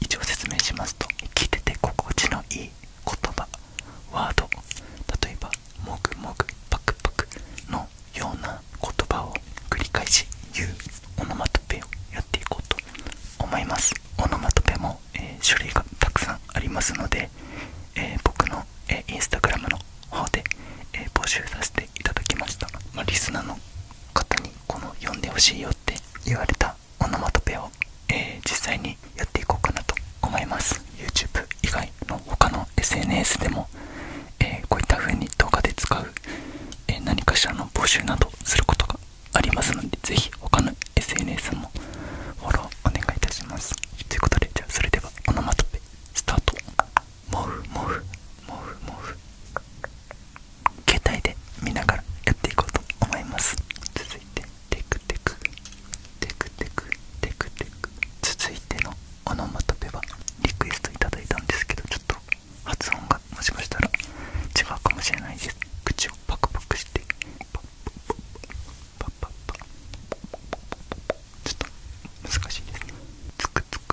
一応説明しますと聞いてて心地のいい言葉ワード例えば「もぐもぐパクパク」のような言葉を繰り返し言うオノマトペをやっていこうと思いますオノマトペも、えー、類がたくさんありますので、え僕の、えー、インスタグラムの方で、え募集させていただきました、まリスナーの方にこの読んでほしいよって言われたオノマトペを、え実際にやっていこうかなと思います YouTube 以外の他の SNS でも、えこういったふうに動画で使う、え何かしらの募集などすることがありますのでぜひ他の SNS もフォローお願いいたしますということでじゃあそれではオノマトペスタートモフモフモフモフ携帯で見ながらやっていこうと思います続いてテクテクテクテクテクテク続いてのオのまとめはリクエストいただいたんですけどちょっと発音がもしかしたら違うかもしれないです口をパクパクしてパッパッパッパッパッパッ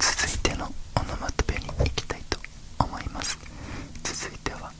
続いてのオノマトペに行きたいと思います続いては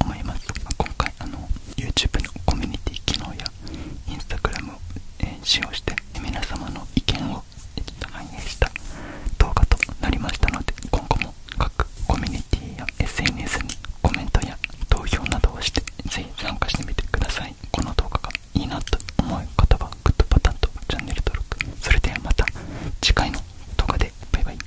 思います、今回あの YouTube のコミュニティ機能や Instagram を、え使用して皆様の意見を反映した動画となりましたので今後も各コミュニティや SNS にコメントや投票などをしてぜひ参加してみてくださいこの動画がいいなと思う方はグッドボタンとチャンネル登録それではまた次回の動画でバイバイ